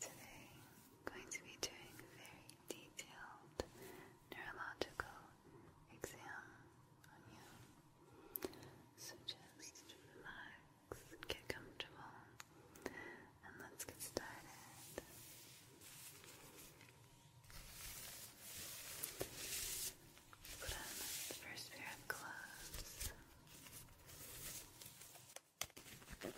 Today, I'm going to be doing a very detailed neurological exam on you. So just relax, get comfortable, and let's get started. Put on the first pair of gloves. Okay,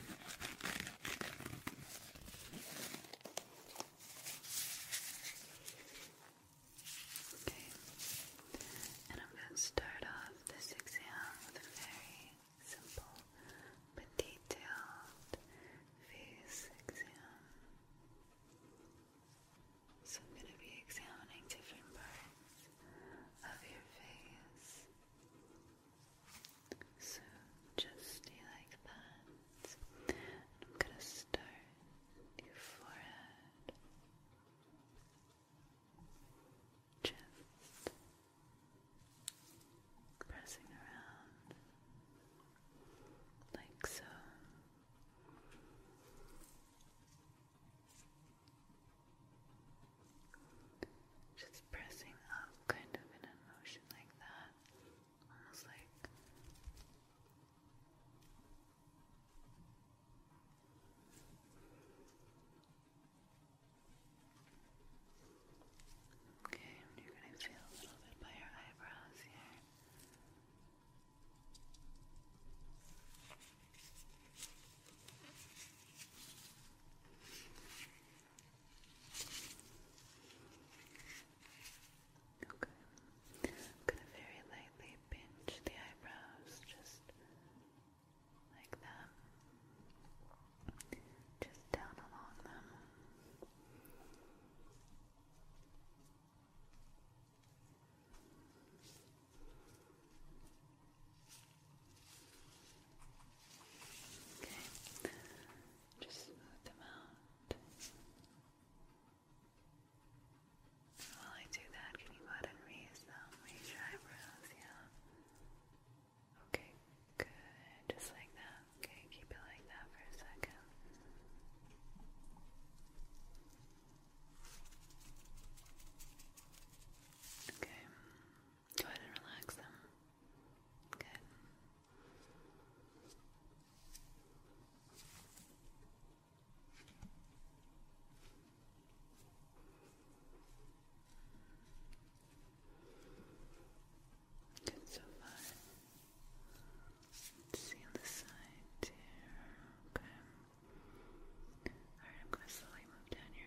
and I'm going to start off this exam with a very simple but detailed face exam. So I'm going to be examining different parts of your face. So just stay like that. I'm gonna start your forehead, just pressing around like so. Just pressing up kind of in a motion like that. Almost like Okay, you're gonna feel a little bit by your eyebrows here. Okay. I'm gonna very lightly pinch the eyebrows just like that. Just down along them. Okay, just smooth them out. While I do that, can you go ahead and raise your eyebrows, yeah? Okay, good, just like that. Okay, keep it like that for a second. Okay, Go ahead and relax them. Good. Good so far. see on the side here. Okay. Alright, I'm going to slowly move down here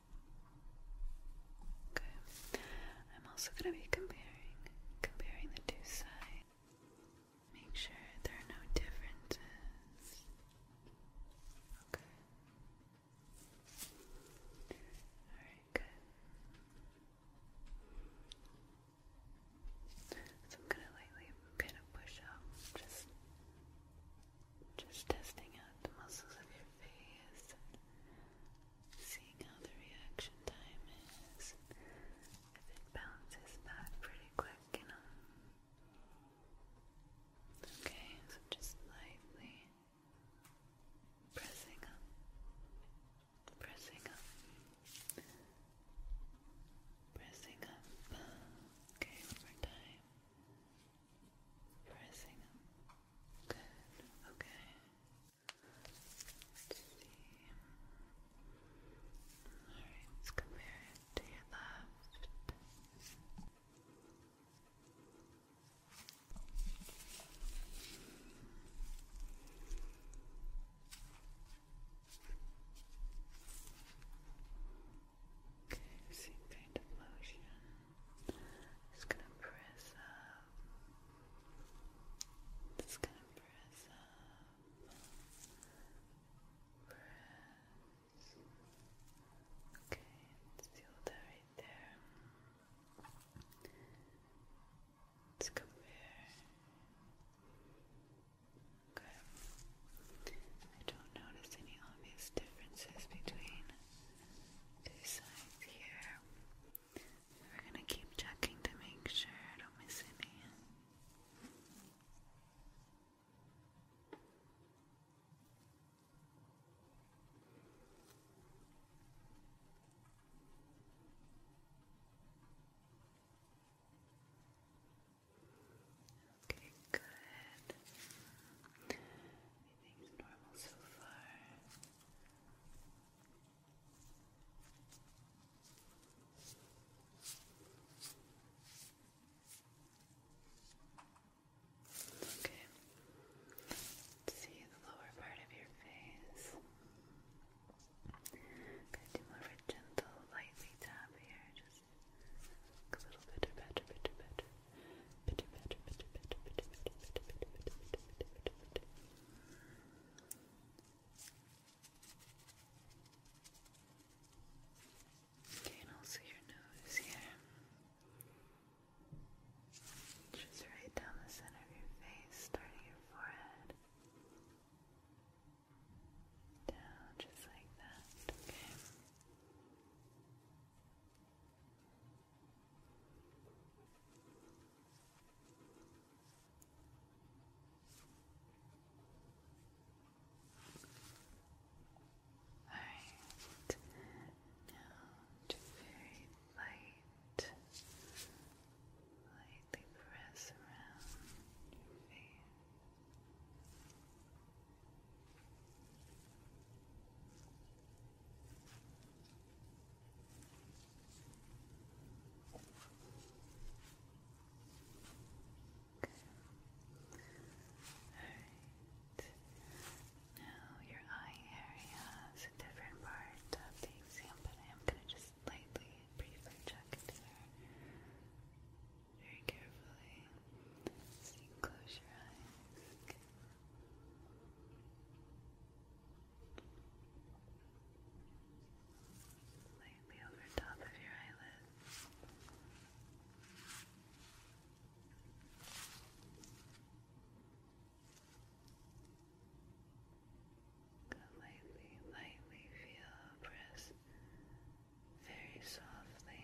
Okay. I'm also going to be comparing comparing the two sides. Make sure there are no differences. Okay. Alright, good. So I'm gonna lightly kind of push up, just just testing out the muscles of your face seeing how the reaction time is. If it bounces back pretty quick, you know. Okay, so just lightly pressing up, pressing up, pressing up. Okay, one time. Pressing up, Good. Okay. Let's see. Alright, let's compare it to your left. Okay, same kind of motion. Just gonna press up. Just gonna press up. Press. Okay, feel that right there. Let's compare. Okay. I don't notice any obvious differences between two sides here. We're gonna keep checking to make sure I don't miss any. Okay, good. Everything's normal Okay. see the lower part of your face. Gonna do more of a gentle, lightly tap here, just a little bit better, better, better. Okay, and also your nose here. Just right down the center of your face, starting your forehead. Down just like that, okay. Alright, now just very light, lightly press around your face. Alright. Now your eye area is a different part of the I am gonna just lightly and briefly check there. Very carefully. So you close your eyes. Lightly over top of your eyelids. Lightly, lightly feel, press very softly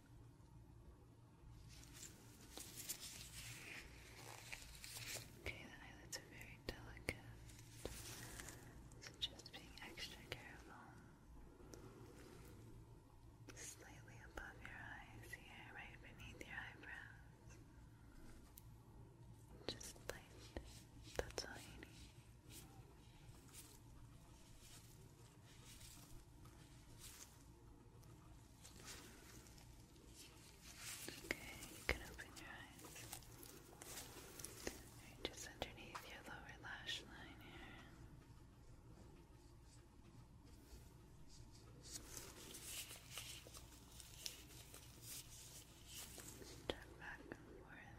Okay, the eyelids are very delicate, so just being extra careful. Slightly above your eyes here, right beneath your eyebrows. Just light. That's all you need. Okay, you can open your eyes. Right, just underneath your lower lash line here. Turn back and forth.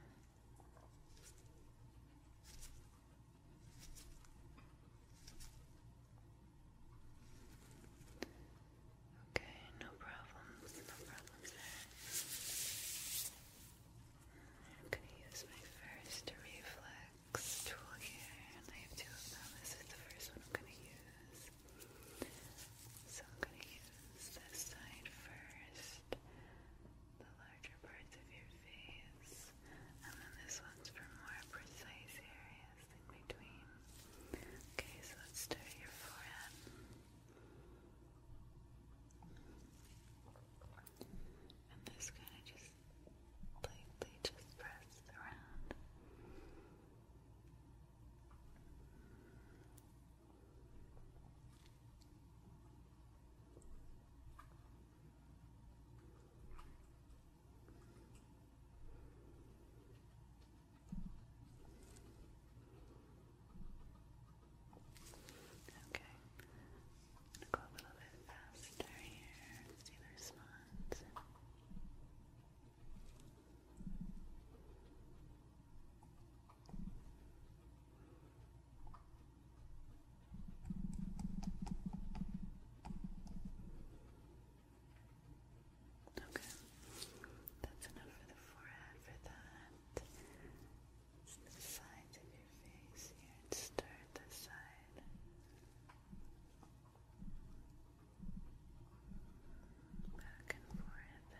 Okay, no problems, no problems I'm gonna use my first reflex tool here, and I have two of them. This is the first one I'm gonna use. So I'm gonna use this side first, the larger parts of your face, and then this one's for more precise areas eyes in Okay, so let's do your forehead. And this kind of just lightly just pressed around. Okay. i go a little bit faster here, see the response. Okay, that's enough for the forehead for that. It's the sides of your face here and start this side. Back and forth around.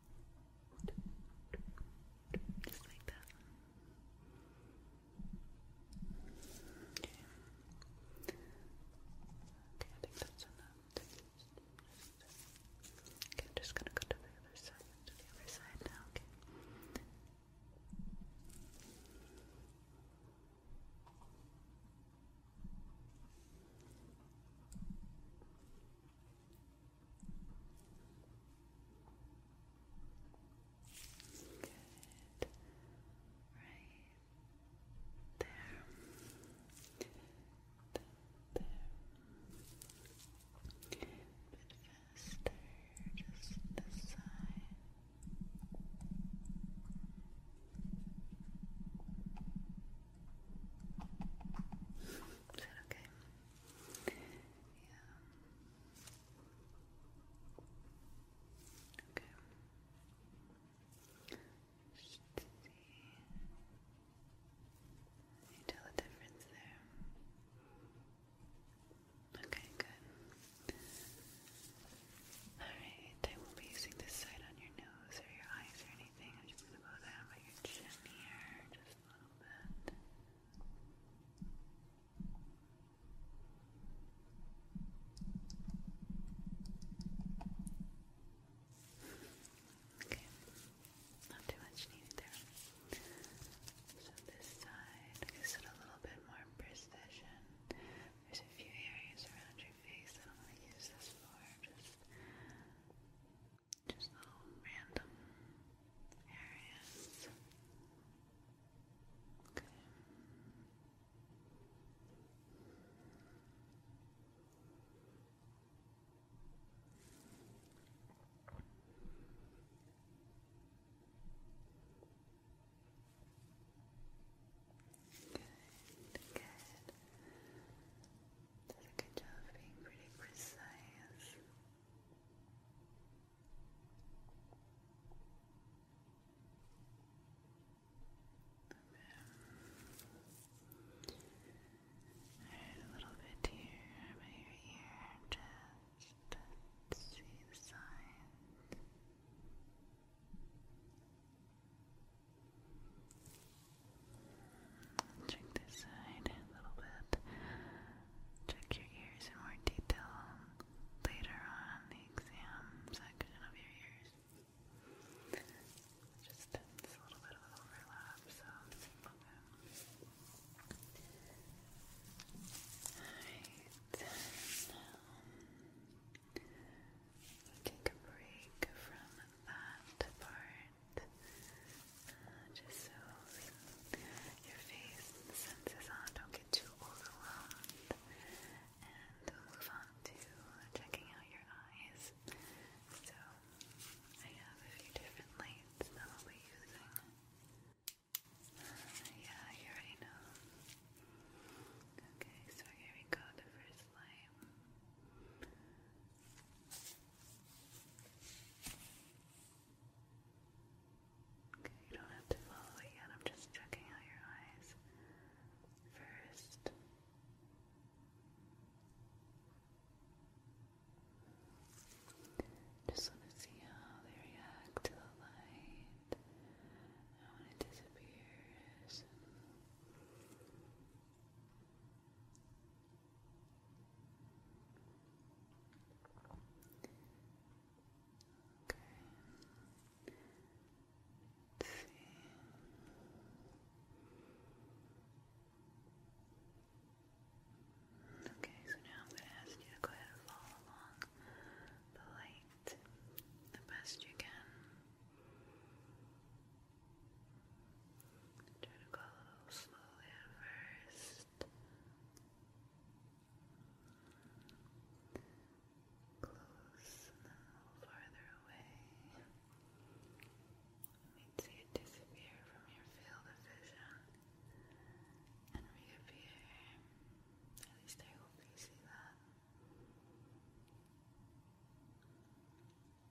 Just like that. Okay. I think that's enough. Okay, I'm just gonna go to the other side. To the other side now, Okay, Good. Right there. There. bit faster, just this side. Is that okay? Yeah. Okay. Just see. you tell the difference there? Okay, good. Alright, I won't be using this side on your nose or your eyes or anything. I'm just gonna go down by your chin here, just a little bit. Okay, not too much needed there. So this side gives it a little bit more precision. There's a few areas around your face that I'm going to use this for. Just just little random areas. Okay. Good, good. Does a good job of being pretty precise. Okay. There's a little bit here by your ear, just to see the signs. Check this side a little bit. Check your ears in more detail later on the exam section of your ears. Just a little bit of overlap, so let's see take a break from that part uh, just so your face and senses on don't get too overwhelmed. And we'll move on to checking out your eyes. So I have a few different lights that I'll be using. Uh, yeah, you already know. Okay, so here we go, the first light. Okay, you don't have to follow it yet. I'm just checking out your eyes first. Just want to see how they react to the light and when it disappears. Let's Okay, so now I'm going to ask you to go ahead and follow along the light the best you can. Try to go slowly at first. Close and then a little farther away. Let me see it disappear from your field of vision and reappear. At least I hope you see that.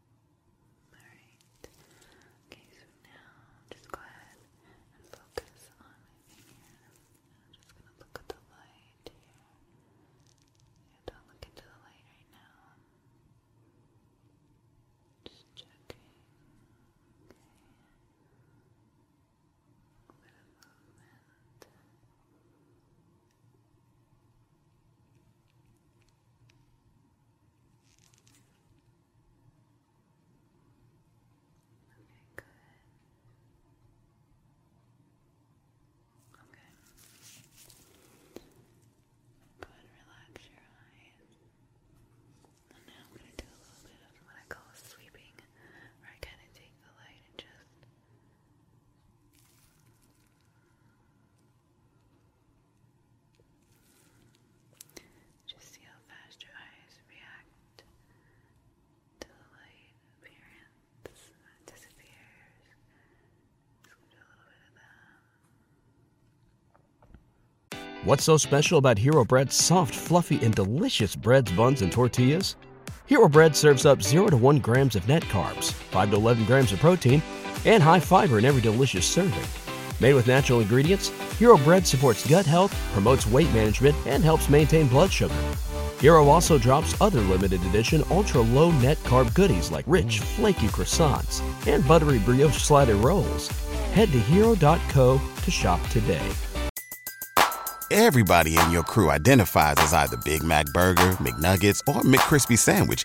Alright. Okay, so now just go ahead and focus on my finger. I'm just gonna look at the light here. don't look into the light right now. Just checking. Okay. A bit movement. Okay, good. Okay. Go relax your eyes. And now I'm going to do a little bit of what I call sweeping, where I kind of take the light and just What's so special about Hero Bread's soft, fluffy, and delicious breads, buns, and tortillas? Hero Bread serves up 0 to 1 grams of net carbs, 5 to 11 grams of protein, and high fiber in every delicious serving. Made with natural ingredients, Hero Bread supports gut health, promotes weight management, and helps maintain blood sugar. Hero also drops other limited edition ultra low net carb goodies like rich, flaky croissants and buttery brioche slider rolls. Head to hero.co to shop today. Everybody in your crew identifies as either Big Mac Burger, McNuggets, or McCrispy Sandwich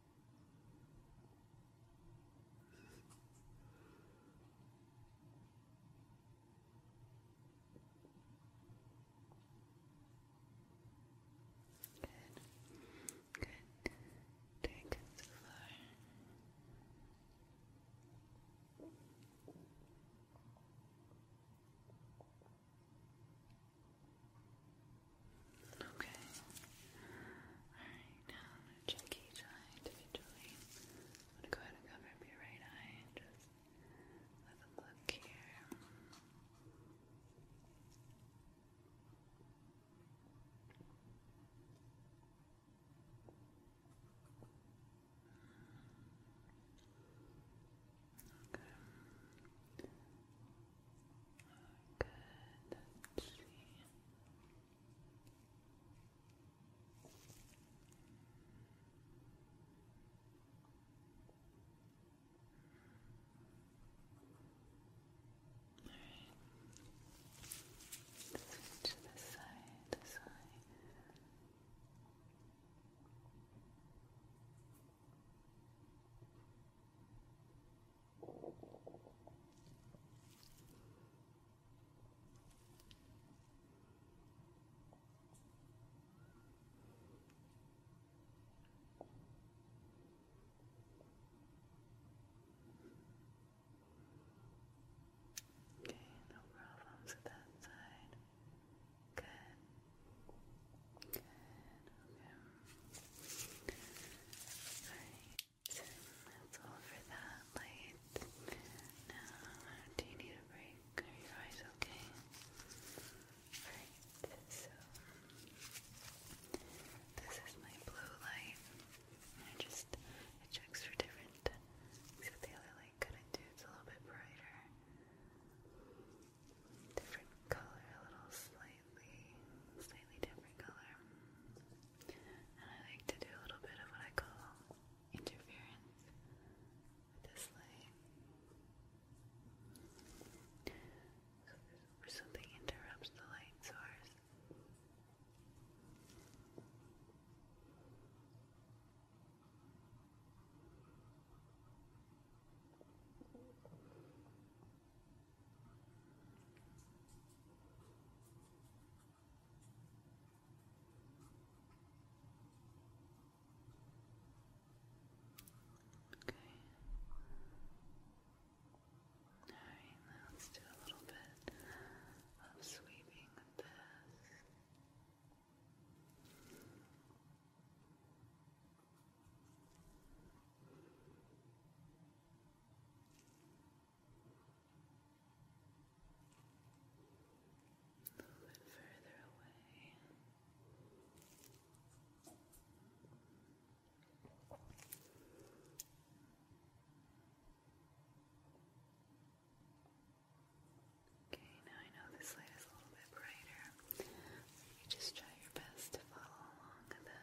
Good. Good. Take it so far. Okay. Alright, want to check each eye individually. I'm going to go ahead and cover up your right eye and just have a look here. Okay. Oh, good. Let's see. All right. To the side, the side. Okay, no problems at that side. Good. Good. Okay. Alright. So that's all for that light. Now, do you need a break? Are your eyes okay? Alright, so this is my blue light. And just it checks for different except the other light couldn't do it's a little bit brighter. Different color, a little slight slightly, slightly different color. And I like to do a little bit of what I call interference with this light. where something interrupts the light source. Okay. Alright, now let a little bit of sweeping this. A little bit further away. Okay, now I know this light is a little bit brighter. So you just try your best to follow along with it.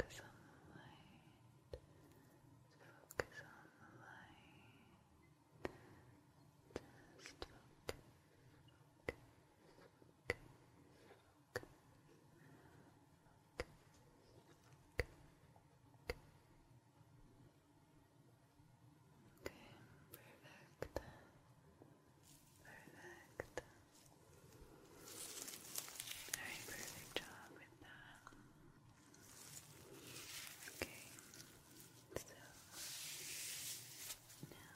Okay. Focus on the light. Focus on the light. Just focus, focus, focus, focus, Okay, perfect. Perfect. Alright, perfect job with that. Okay, so now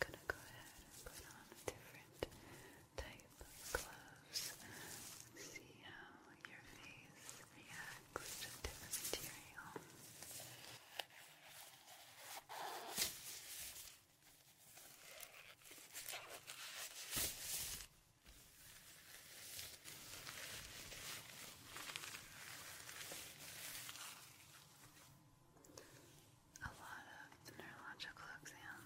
gonna go ahead and put on a different type of gloves. See how your face reacts to different material. A lot of neurological exam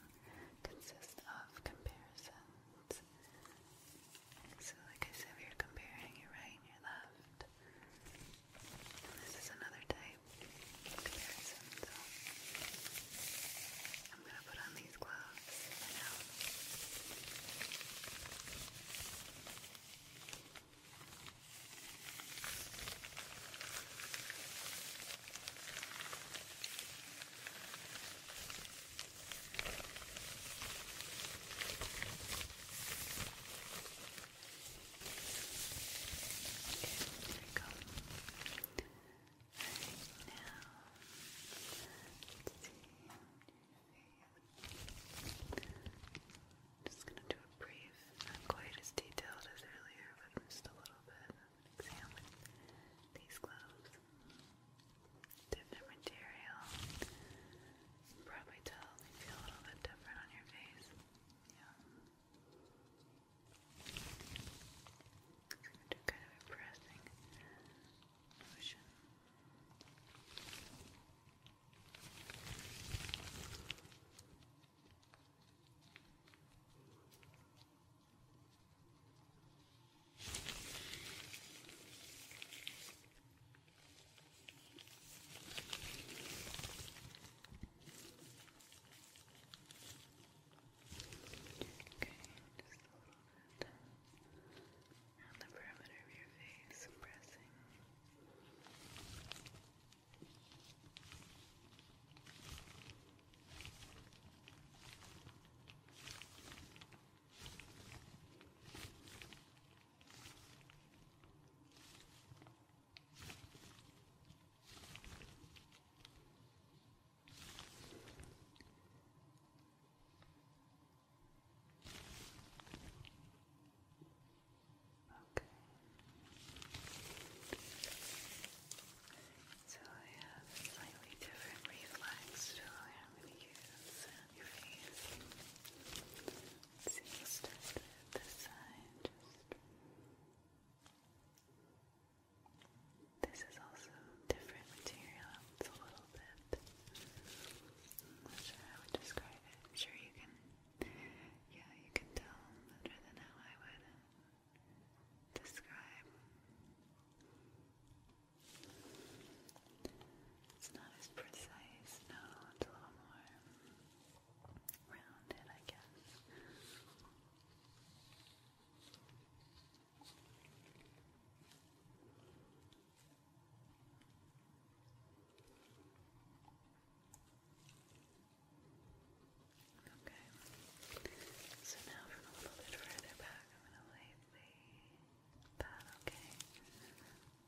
consists of comparison so like I said, we are comparing your right and your left. this is another type of comparison, so I'm gonna put on these gloves right now there we go. Alright, now, just going to do a brief, not quite as detailed as earlier, but just a little bit of these gloves different material. Probably tell feel a little bit different on your face. Yeah. Do kind of a pressing motion bit on the perimeter of your face, pressing. Okay. Okay. So I have slightly different reflex your see, we side. Just... This is also different material. It's a little bit. i I would describe I'm sure you can. Yeah, you can tell better than how I would describe. It's not as precise, no, it's a little more rounded, I guess. Okay, so now from a little bit further back, I'm going to lightly that, okay? There's a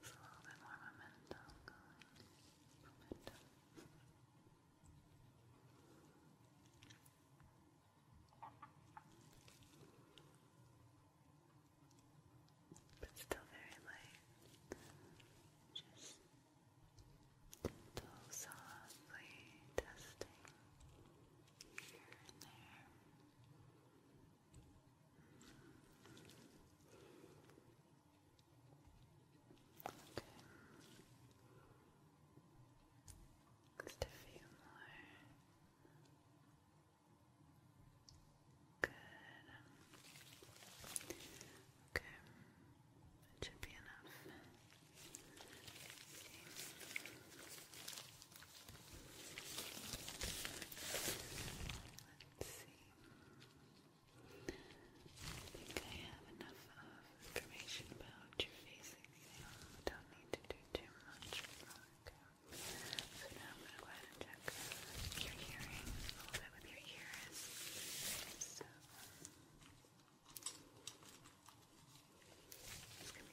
little bit more momentum going. But still very light. Just gentle, softly testing here and there. Okay. Just a few more. Good. Okay. should be enough. Let's see. I think I have enough information about your face exam. Don't need to do too much. Okay. So now I'm gonna check your hearing a little bit with your ears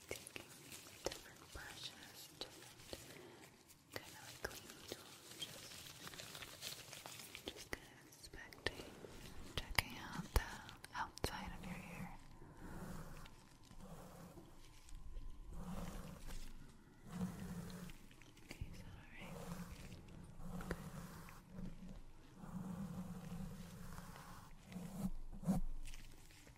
taking different brushes, different kind of cleaning just, just kind of inspecting, checking out the outside of your ear. Okay, is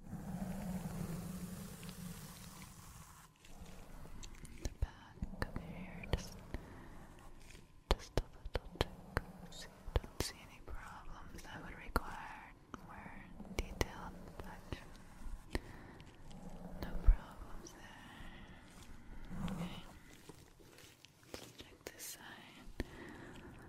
The back of your hair, just, just a little check, you don't see any problems that would require more detailed inspection. No problems there. Okay. check this side.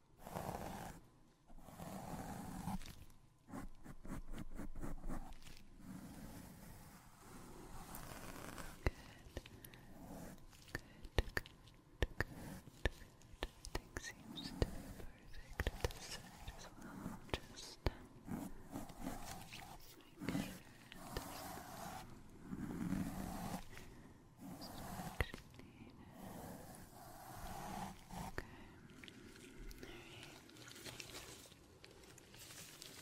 good, good. Everything seems to be perfect at this side as well. Just um, make sure there's no Distraction needed. Okay. Alright. Okay. Just making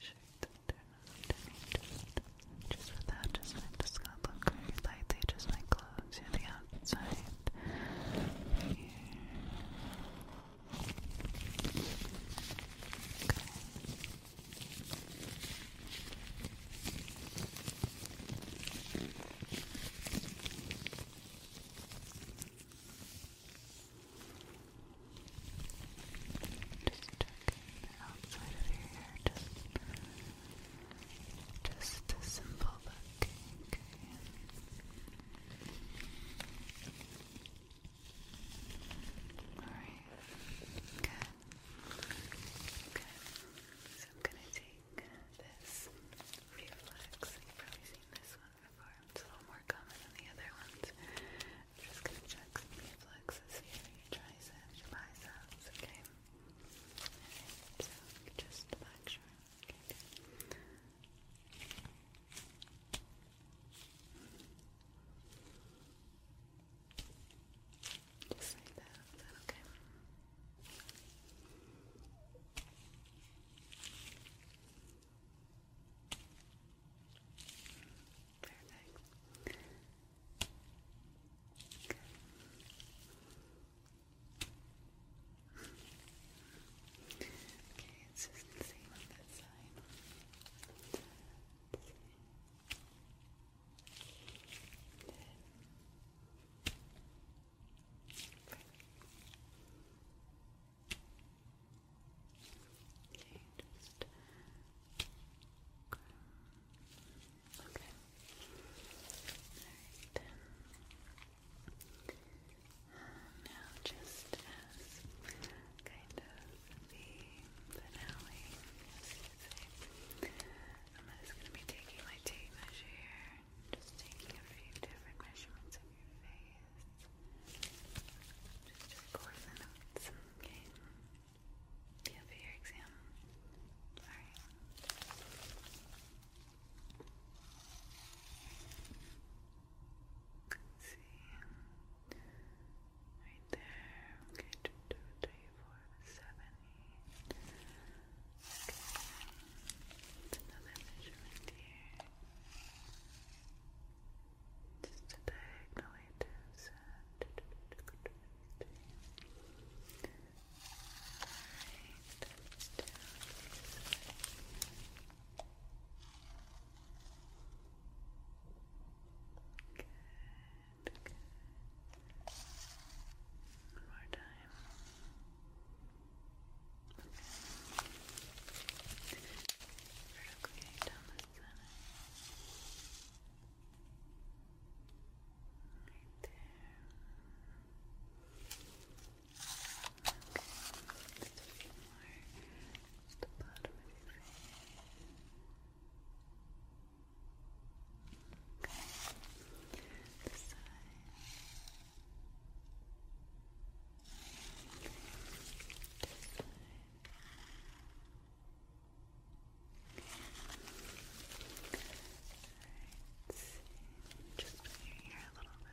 sure that they're not damaged. Just with that, just make the scalp look very lightly, just like gloves, you know, the outside. Here. Okay outside of your hair, just, just a simple but Okay. Alright. Good. Good. So I'm gonna take this reflex. You've probably seen this one before. It's a little more common than the other ones. I'm just gonna check some reflexes here. triceps, biceps, okay? so just to make sure. Just like that. Is that okay? Perfect. Okay. Okay, it's just the same on that side. Okay, just Okay. Alright. Now, just kind of the finale, you I'm just going to be taking my tape measure here, just taking a few different measurements of your face, just record notes, okay? Yeah, for your exam. Alright. Let's see. Right there. Okay, two, two, three, four, seven, eight. Okay. Another measurement here. Just a diagonal eight Alright, Good, good. One more time. Okay. Vertically down the center. Right there at the bottom of your face. Okay. The side. This side. Alright, just here a little bit.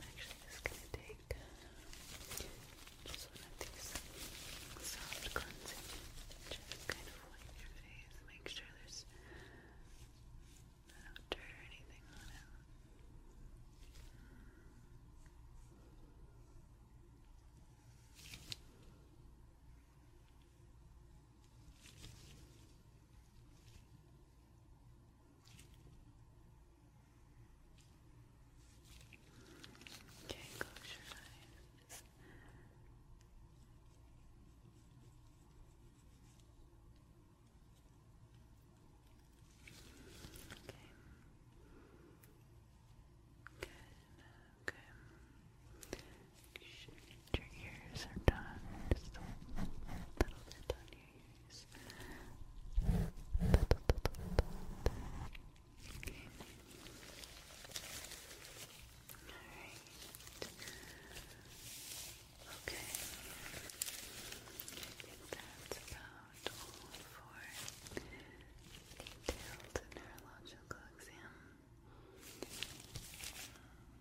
I'm actually just gonna take just one of these soft cleansing just kind of wipe your face, make sure there's no dirt or anything on it. Okay, close your eyes. Okay. Good, okay. your ears are done. Just a little bit on ears. Okay. Okay. That's about all for detailed neurological exam.